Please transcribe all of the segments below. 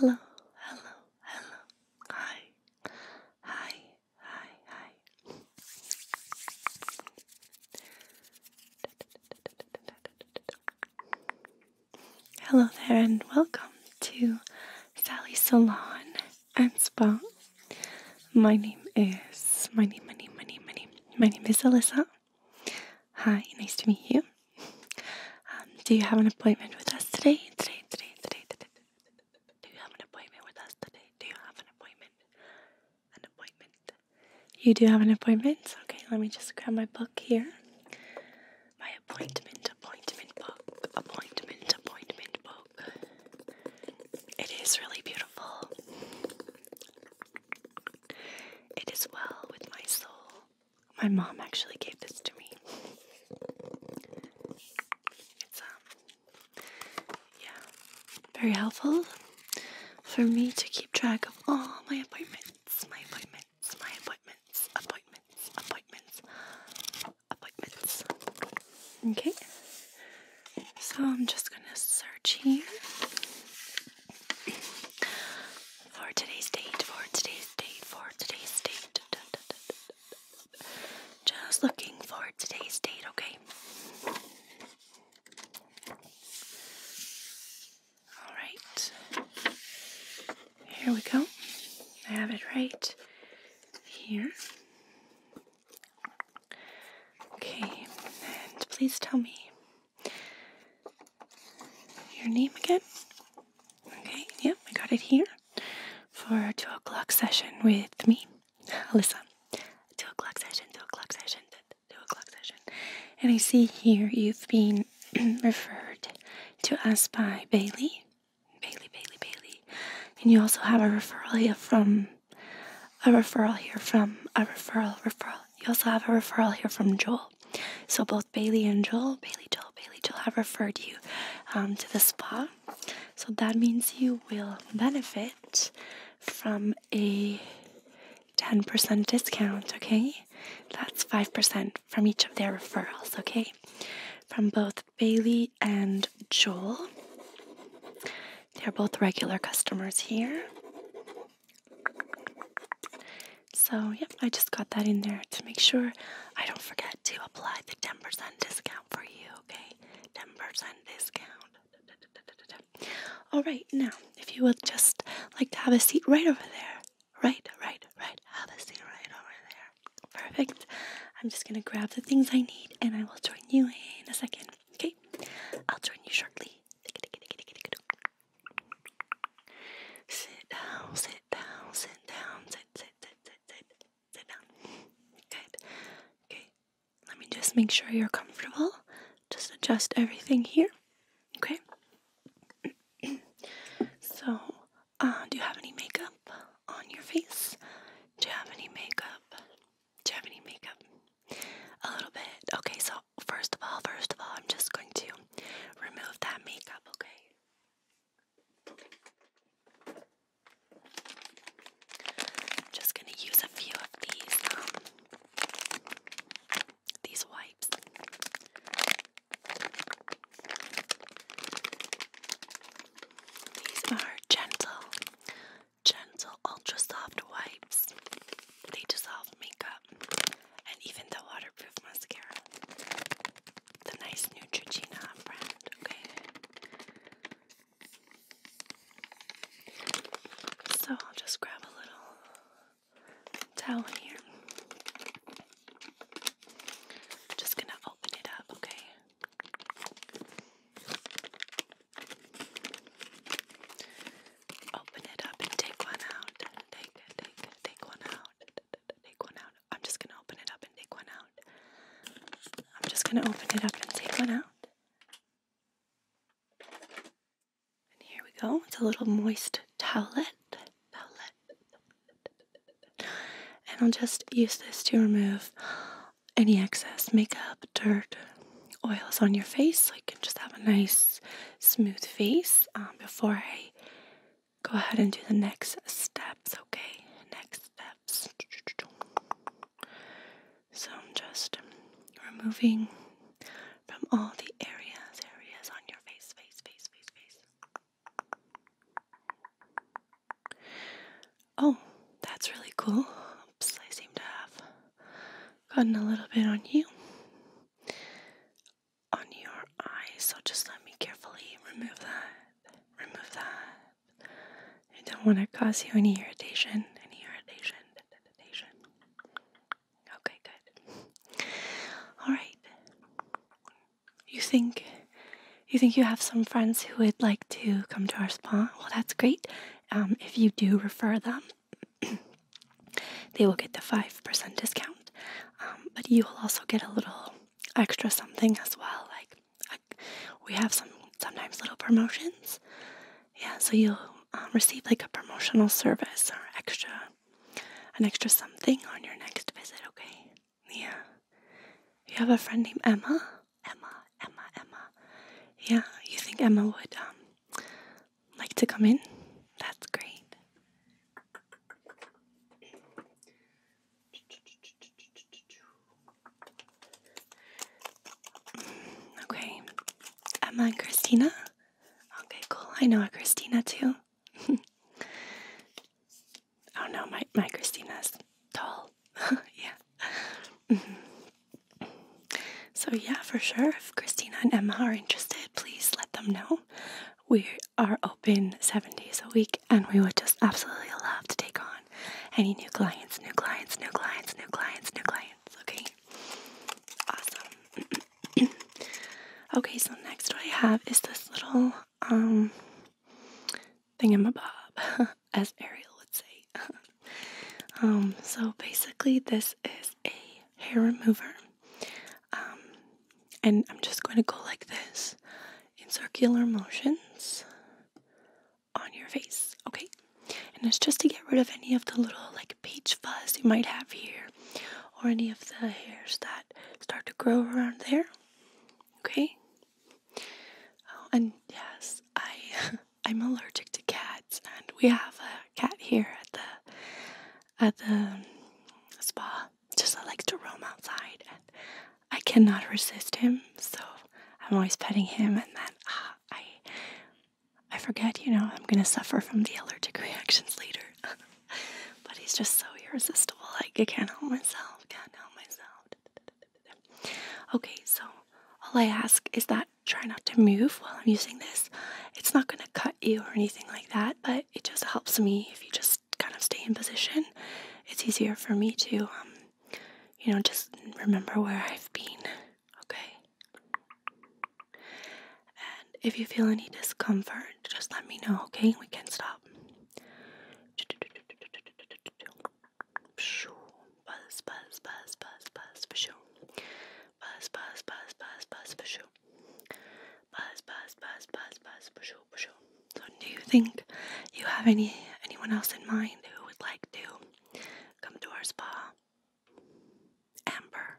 Hello, hello, hello, hello. Hi, hi, hi, hi. Hello there, and welcome to Sally Salon and Spa. My name is my name, my name, my name, my name. My name is Alyssa. Hi, nice to meet you. Um, do you have an appointment with us today? Today, today, today, today, do you have an appointment with us today? Do you have an appointment? An appointment. You do have an appointment? Okay, let me just grab my book here. My appointment, appointment book, appointment, appointment book. It is really beautiful. It is well with my soul. My mom actually gave this to me. It's um yeah, very helpful for me to keep track of all my appointments, my appointments, my appointments, appointments, appointments, appointments. Okay, so I'm just gonna search here for today's date, for today's date, for today's date. Just looking for today's date, okay? Alright. Here we go. I have it right here. Okay, and please tell me your name again. Okay, yep, I got it here for a two o'clock session with me. listen, two o'clock session, two o'clock session, two o'clock session. And I see here you've been referred to us by Bailey, Bailey, Bailey, Bailey. And you also have a referral here from a referral here from a referral, referral. You also have a referral here from Joel. So both Bailey and Joel, Bailey, Joel, Bailey, Joel have referred you um, to this spot. So that means you will benefit from a 10% discount, okay? That's 5% from each of their referrals, okay? From both Bailey and Joel. They're both regular customers here. So, yep, I just got that in there to make sure I don't forget to apply the 10% discount for you okay? 10% discount. All right, now, if you would just like to have a seat right over there. Right, right, right. Have a seat right over there. Perfect. I'm just gonna grab the things I need and I will join you in a second. Okay? I'll join you shortly. Sit down, sit down, sit down, sit, sit, sit, sit, sit, sit down. Good. Okay, let me just make sure you're comfortable. Just adjust everything here. Okay. so, uh, do you have any makeup on your face? Do you have any makeup? Do you have any makeup? A little bit. Okay, so first of all, first of all, I'm just going to remove that makeup, okay? Just gonna use a few of these um, these wipes. These are gentle, gentle, ultra soft wipes. They dissolve makeup and even the waterproof mascara. The nice Neutrogena brand. Okay. So I'll just grab a little towel here. just gonna open it up, okay? Open it up and take one out. take one out. Take one out. I'm just gonna open it up and take one out. I'm just gonna open it up and take one out. And here we go. It's a little moist towelette. And I'll just use this to remove any excess makeup, dirt, oils on your face so I can just have a nice smooth face um, before I go ahead and do the next steps, okay? Next steps. So I'm just removing from all the areas, areas on your face, face, face, face, face. Oh, that's really cool. Oops, I seem to have gotten a little bit on you. On your eyes. so just let me carefully remove that, remove that, I don't want to cause you any irritation. Any irritation. irritation. Okay, good. All right. You think you think you have some friends who would like to come to our spa? Well, that's great. Um, if you do refer them, they will get the five percent discount. Um, but you will also get a little extra something as well, like we have some sometimes little promotions. Yeah, so you'll um, receive like a promotional service or extra, an extra something on your next visit. Okay. Yeah. You have a friend named Emma. Emma. Emma. Emma. Yeah. You think Emma would um like to come in? That's great. Okay. Emma and Christina? Okay, cool. I know a Christina too. oh no, my, my is tall. yeah. so, yeah, for sure. If Christina and Emma are interested, please let them know. We are open seven days a week and we would just absolutely love to take on any new clients, new clients, new clients, new clients, new clients. Okay. Awesome. okay, so next what I have is this little thing um bob, as Ariel would say. Um, so basically this is a hair remover. Um, and I'm just going to go like this in circular motions on your face, okay? And it's just to get rid of any of the little like peach fuzz you might have here or any of the hairs that start to grow around there, okay? Oh, and yes, I I'm allergic to cats, and we have a cat here at the at the um, spa. Just likes to roam outside, and I cannot resist him. So I'm always petting him, and then ah, I I forget. You know, I'm gonna suffer from the allergic reactions later. but he's just so irresistible. Like I can't help myself. Can't help myself. Okay, so all I ask is that try not to move while I'm using this. It's not gonna cut you or anything like that, but it just helps me if you just kind of stay in position. It's easier for me to um, you know, just remember where I've been, okay? And if you feel any discomfort, just let me know, okay? We can stop. Buzz, buzz, buzz, buzz, buzz, for sure. Buzz, buzz, buzz, buzz, buzz, for sure. Buzz, buzz, buzz, buzz, buzz, So, do you think you have any anyone else in mind who would like to come to our spa. Amber.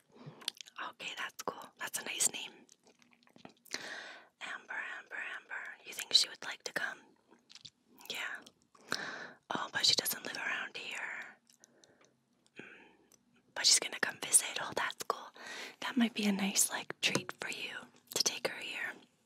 Okay, that's cool. That's a nice name. Amber, Amber, Amber. You think she would like to come? Yeah. Oh, but she doesn't live around here. Mm. But she's gonna come visit. Oh, that's cool. That might be a nice, like, treat for you to take her here.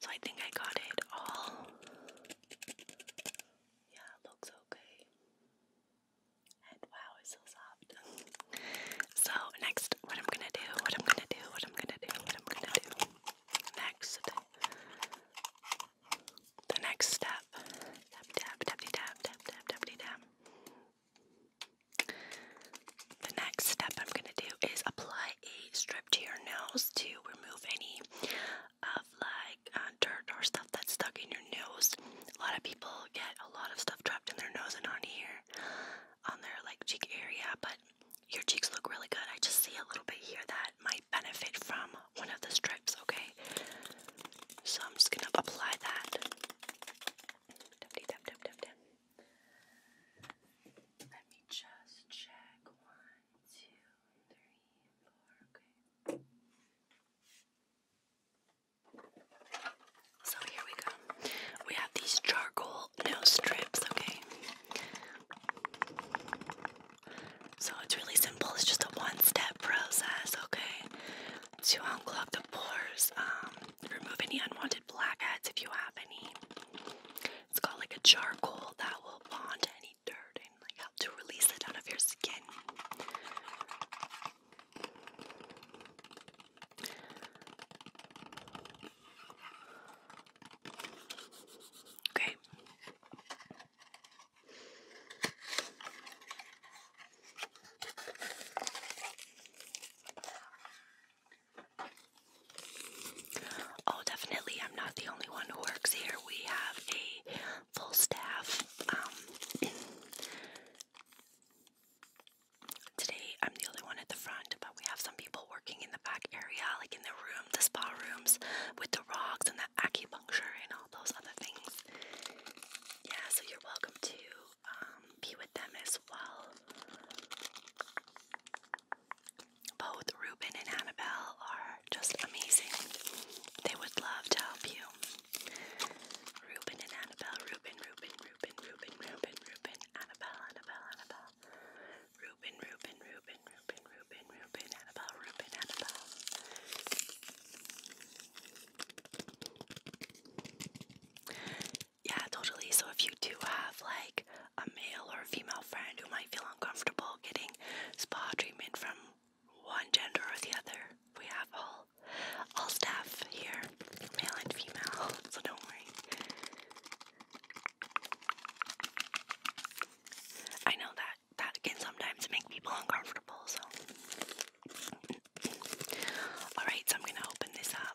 so I think I got it all. Yeah, it looks okay. And wow, it's so soft. so next, what I'm gonna do, what I'm gonna do, what I'm gonna do, what I'm gonna do next. The next step. Tap tap tap tap tap tap tap tap. The next step I'm gonna do is apply a strip to your nose to remove any of like uh, dirt or stuff that's stuck in your nose. A lot of people get a lot of stuff trapped in their nose and on here, on their like cheek area, but your cheeks look really good. I just see a little bit here that might benefit from one of the strips, okay? So I'm just gonna apply that. Let me just check. One, two, three, four. Okay. So here we go. We have these charcoal nose strips, okay? So it's really simple. It's just a one step process, okay? To unclog the pores, um, remove any unwanted blackheads if you have any, it's got like a charcoal that will bond any dirt and like help to release it out of your skin. Okay. Oh, definitely. I'm not the only one who works here. We have a full staff. Um, today, I'm the only one at the front, but we have some people working in the back area, like in the room, the spa rooms, with the rocks and the acupuncture and all those other things. Yeah, so you're welcome to um, be with them as well. Both Ruben and Annabelle are just amazing. They would love to help you. Ruben and Annabelle, Ruben, Ruben, Ruben, Ruben, Ruben, Ruben, Annabelle, Annabelle, Annabelle. Ruben, Ruben, Ruben, Ruben, Ruben, Ruben, Annabelle, Ruben, Annabelle. Yeah, totally. So if you do have like a male or a female friend who might feel uncomfortable getting spa treatment from one gender or the other. We have all all staff here, male and female, so don't worry. I know that that can sometimes make people uncomfortable, so Alright, so I'm gonna open this up.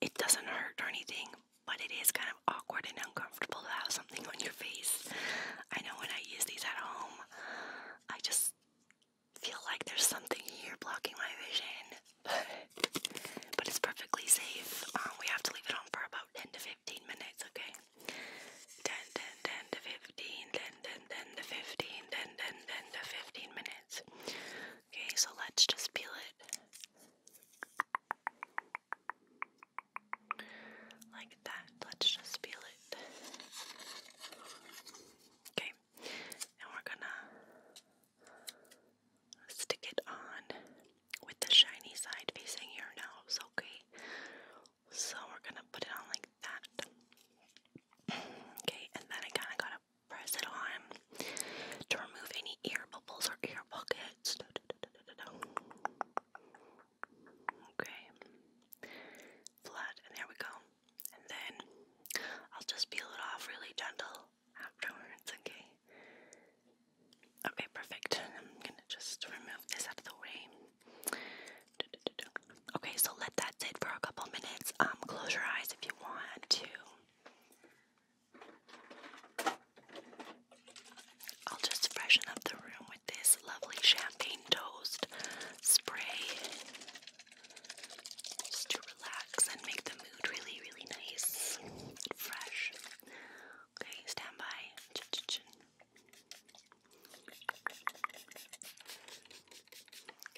it doesn't hurt or anything, but it is kind of awkward and uncomfortable to have something on your face. I know when I use these at home, I just feel like there's something here blocking my vision. but it's perfectly safe. Um, we have to leave it on for about 10 to 15 minutes, okay? 10, 10, 10 to 15, 10, 10 to 15 minutes. Okay, so let's just peel it. Like that. Let's just peel it. Okay, and we're gonna stick it on with the shiny side facing your nose, okay? So we're gonna put it on like that. Okay, and then I kinda gotta press it on to remove any air bubbles or air pockets. Okay, flat, and there we go. And then I'll just peel it off really gentle afterwards, okay? Okay, perfect. I'm gonna just remove this out of the way. Okay, so let that sit for a couple minutes. Um, close your eyes if you want to. I'll just freshen up the room with this lovely champagne toast spray just to relax and make the mood really, really nice and fresh. Okay, stand by.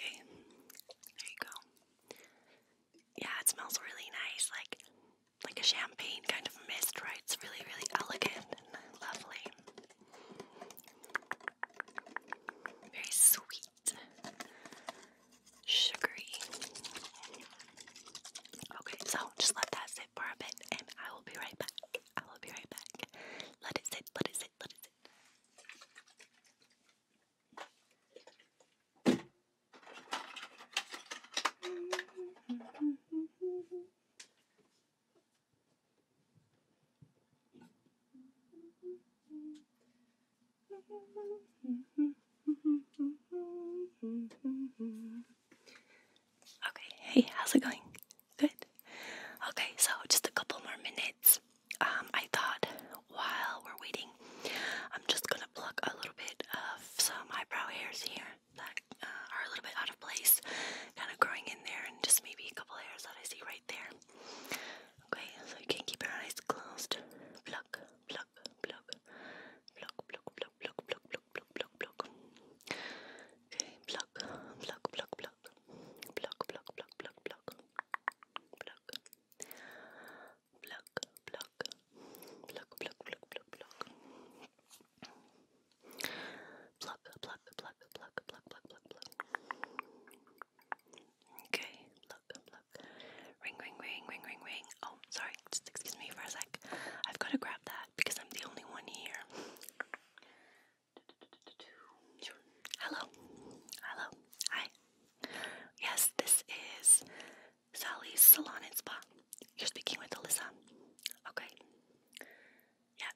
Okay, there you go yeah, it smells really nice, like like a champagne kind of mist, right? It's really, really elegant and lovely. Very sweet. Sugary. Okay, so just let that sit for a bit and I will be right back. I will be right back. Let it sit, let it sit, let it sit. Okay, hey, how's it going? Good. Okay, so just a couple more minutes. Um, I thought while we're waiting, I'm just gonna pluck a little bit of some eyebrow hairs here that uh, are a little bit out of place, kind of growing in there, and just maybe a couple hairs that I see right there. Okay, so you can keep your eyes closed. Pluck, pluck, pluck, pluck, pluck, pluck, pluck, pluck, pluck, pluck, pluck, pluck. Okay, pluck, pluck, pluck, pluck, pluck, pluck, pluck, pluck, pluck, pluck pluck, pluck, pluck, pluck, pluck, pluck, pluck. Pluck, pluck, pluck, pluck, pluck, pluck, pluck, pluck. Okay, pluck, pluck. Ring, ring, ring, ring, ring, ring. Oh, sorry, just excuse me for a sec. I've got to grab that because I'm the only one here. Sure. Hello, hello, hi. Yes, this is Sally's Salon and Spa. You're speaking with Alyssa. Okay. Yeah.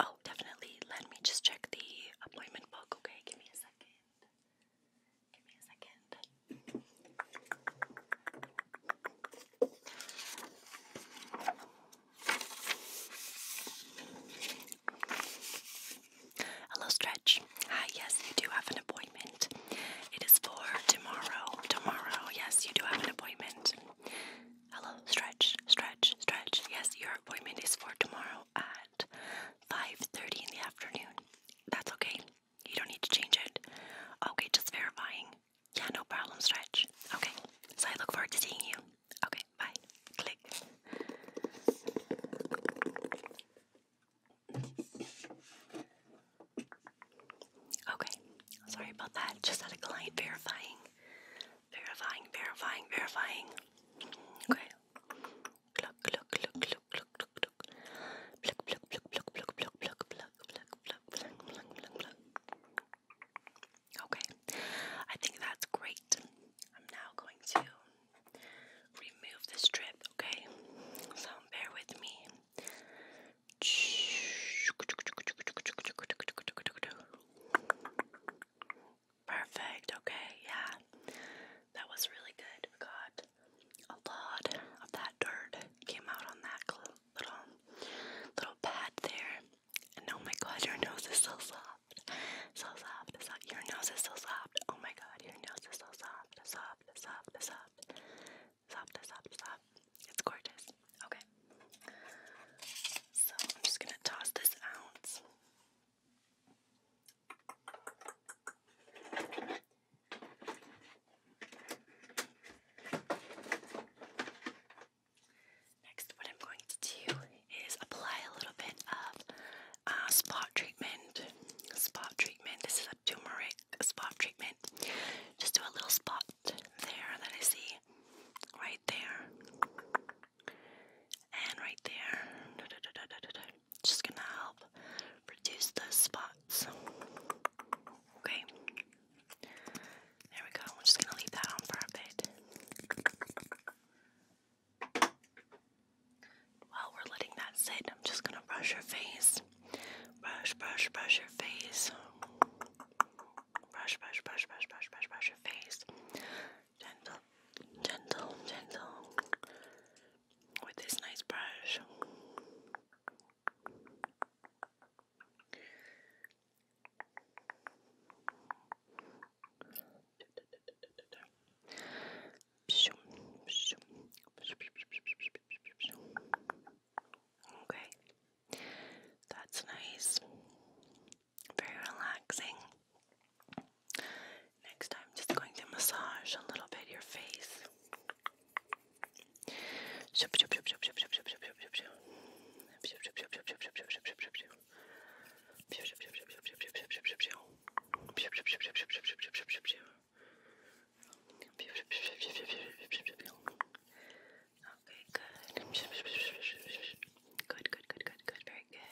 Oh, definitely. Let me just check the appointment book. Okay, give me a second. Give me a second. Hello, Stretch. Hi, ah, yes, you do have an appointment. It is for tomorrow. Tomorrow, yes, you do have an appointment. Hello, stretch, stretch, stretch. Yes, your appointment is for tomorrow at 5.30 in the afternoon. That's okay. You don't need to change it. Okay, just verifying. Yeah, no problem, stretch. Okay, so I look forward to seeing you. Okay, bye. Click. Okay, sorry about that. Just had a client verifying, verifying, verifying, verifying. Okay. Pluck, pluck, pluck, pluck, pluck, pluck, pluck. Pluck, pluck, pluck, pluck, pluck, pluck, pluck, pluck, pluck, pluck, pluck, pluck, pluck, pluck. Okay, I think that's great. I'm now going to remove this strip, okay? So bear with me. Perfect, okay, yeah. That was really good. got a lot of that dirt came out on that little little pad there. oh my god, your nose is so soft. So soft, your nose is so soft. Oh my god, your nose is so soft, soft, soft, soft. Stop! soft, Stop! It's gorgeous. Okay. So I'm just gonna toss this out. Next, what I'm going to do is apply a little bit of uh, spot treatment spot treatment. This is a turmeric spot treatment. Just do a little spot there that I see. Right there. And right there. Just gonna help reduce those spots. Okay. There we go. I'm just gonna leave that on for a bit. While we're letting that sit, I'm just gonna brush your face. Brush, brush, brush your face. Brush, brush, brush, brush, brush, brush, brush your face. Gentle, gentle, gentle. With this nice brush. Okay, that's nice. Very relaxing. Next, I'm just going to massage a little bit your face. Okay, good. Good, good, good, good, Very good.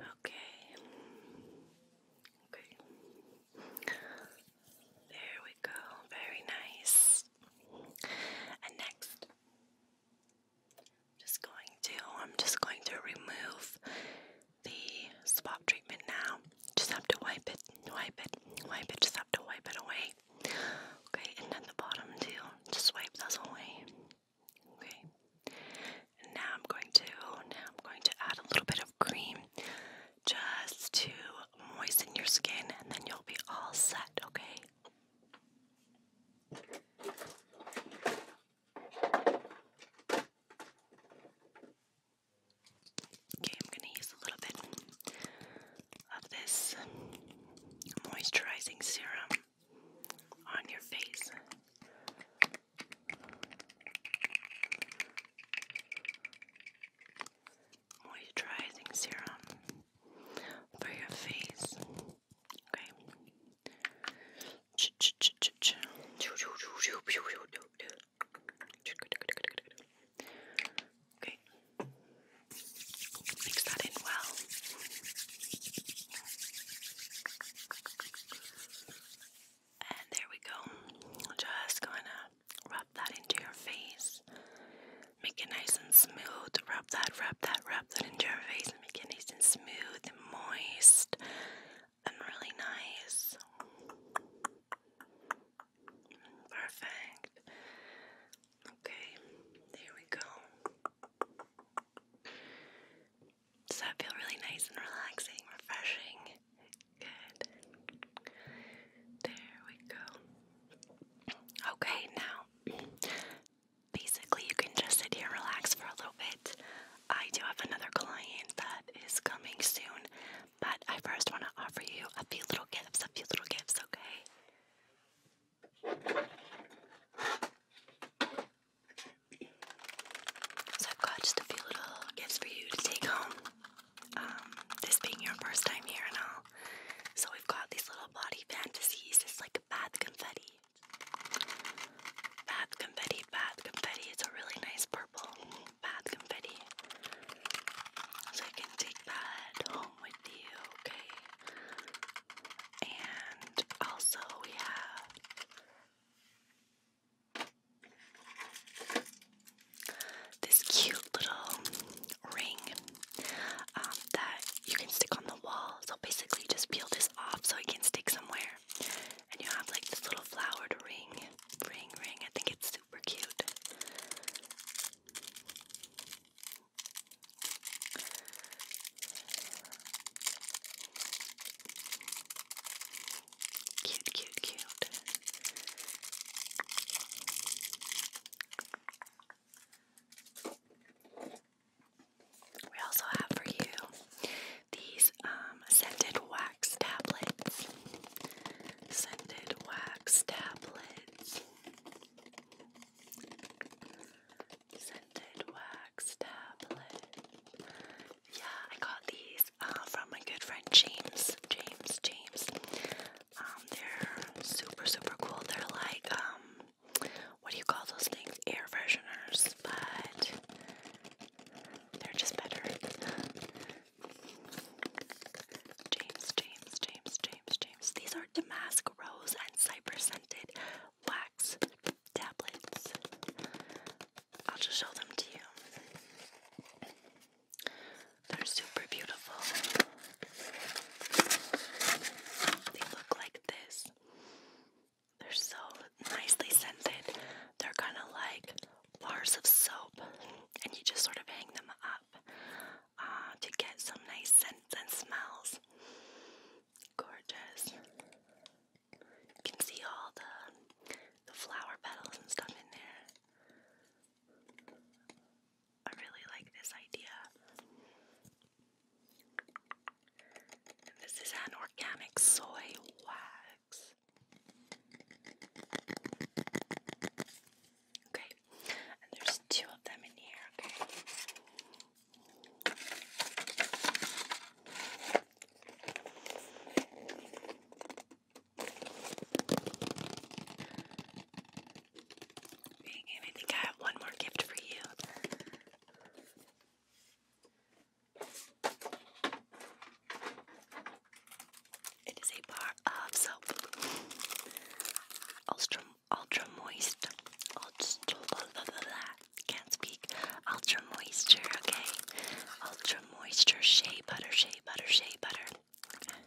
Okay. Okay. There we go. Very nice. And next, I'm just going to I'm just going to remove the swab treatment now. Just have to wipe it, wipe it, wipe it, just have to wipe it away. Okay, and then the bottom too, just wipe those away. Okay. And now I'm going to now I'm going to add a little bit of cream just to moisten your skin and then you'll be all set, okay? Okay, I'm going to use a little bit of this moisturizing serum on your face. Moisturizing serum for your face. Okay. Okay. Mix that in well. And there we go. Just gonna rub that into your face. Make it nice and smooth. Rub that, rub that, rub that into your face and make it nice and smooth and moist and really nice. Perfect. Okay, there we go. Does that feel really nice and relaxing, refreshing? Good. There we go. Okay, now basically you can just sit here and relax for a little bit. I do have another client that is coming soon, but I first want to offer you a few little gifts, a few little gifts, okay? So I've got just a few little gifts for you to take home. Um, this being your first time here and all. So we've got these little body fantasies. It's like bath confetti. Bath confetti, bath confetti. It's a really nice purple purple bath confetti. So you can take that home with you, okay? And also we have this cute little ring um, that you can stick on the wall. So basically, just peel this off so it can stick somewhere. And you have like this little flowered ring, ring, ring. I think it's super cute. Cute, cute, cute. We also have for you these um, scented wax tablets scented wax tablets. Scented wax tablet. Yeah, I got these uh, from my good friend James. James, James. Um, they're super, super cool. They're like, um, what do you call those things? Air fresheners, but they're just better. James, James, James, James, James. These are Damask Rose and Cypress Scented Wax Tablets. I'll just show them to you. They're super beautiful. They look like this. They're so nicely scented. They're kind of like bars of soap and you just sort of hang them up uh, to get some nice scents and smells. Gorgeous. You can see all the, the flower petals and stuff in there. I really like this idea. this is an organic soy wax. Okay, and there's two of them in here, okay? And I think I have one more gift for you. It is a bar of soap. Ultra, ultra moist. Ultra, blah, blah, blah, blah. Can't speak. Ultra moisture, okay. Ultra moisture shea butter, shea butter, shea butter. Okay.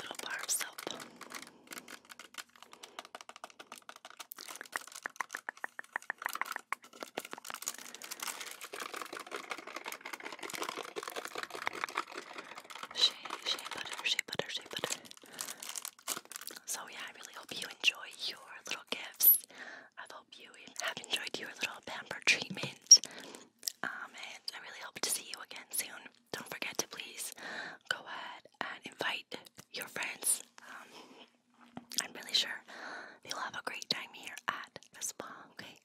Little bar of soap. Shea, butter, shea butter, shea butter. So yeah, I really hope you enjoy your little gifts. I hope you have enjoyed your little pamper treatment. Um, and I really hope to see you again soon. Don't forget to please go ahead and invite your friends. Um, I'm really sure they'll have a great time here at the spa. Okay.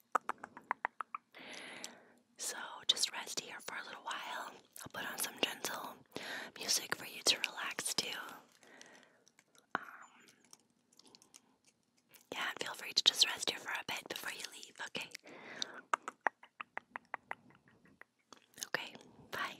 So just rest here for a little while. I'll put on some gentle music for you to relax to. yeah, feel free to just rest here for a bit before you leave, okay? Okay, bye.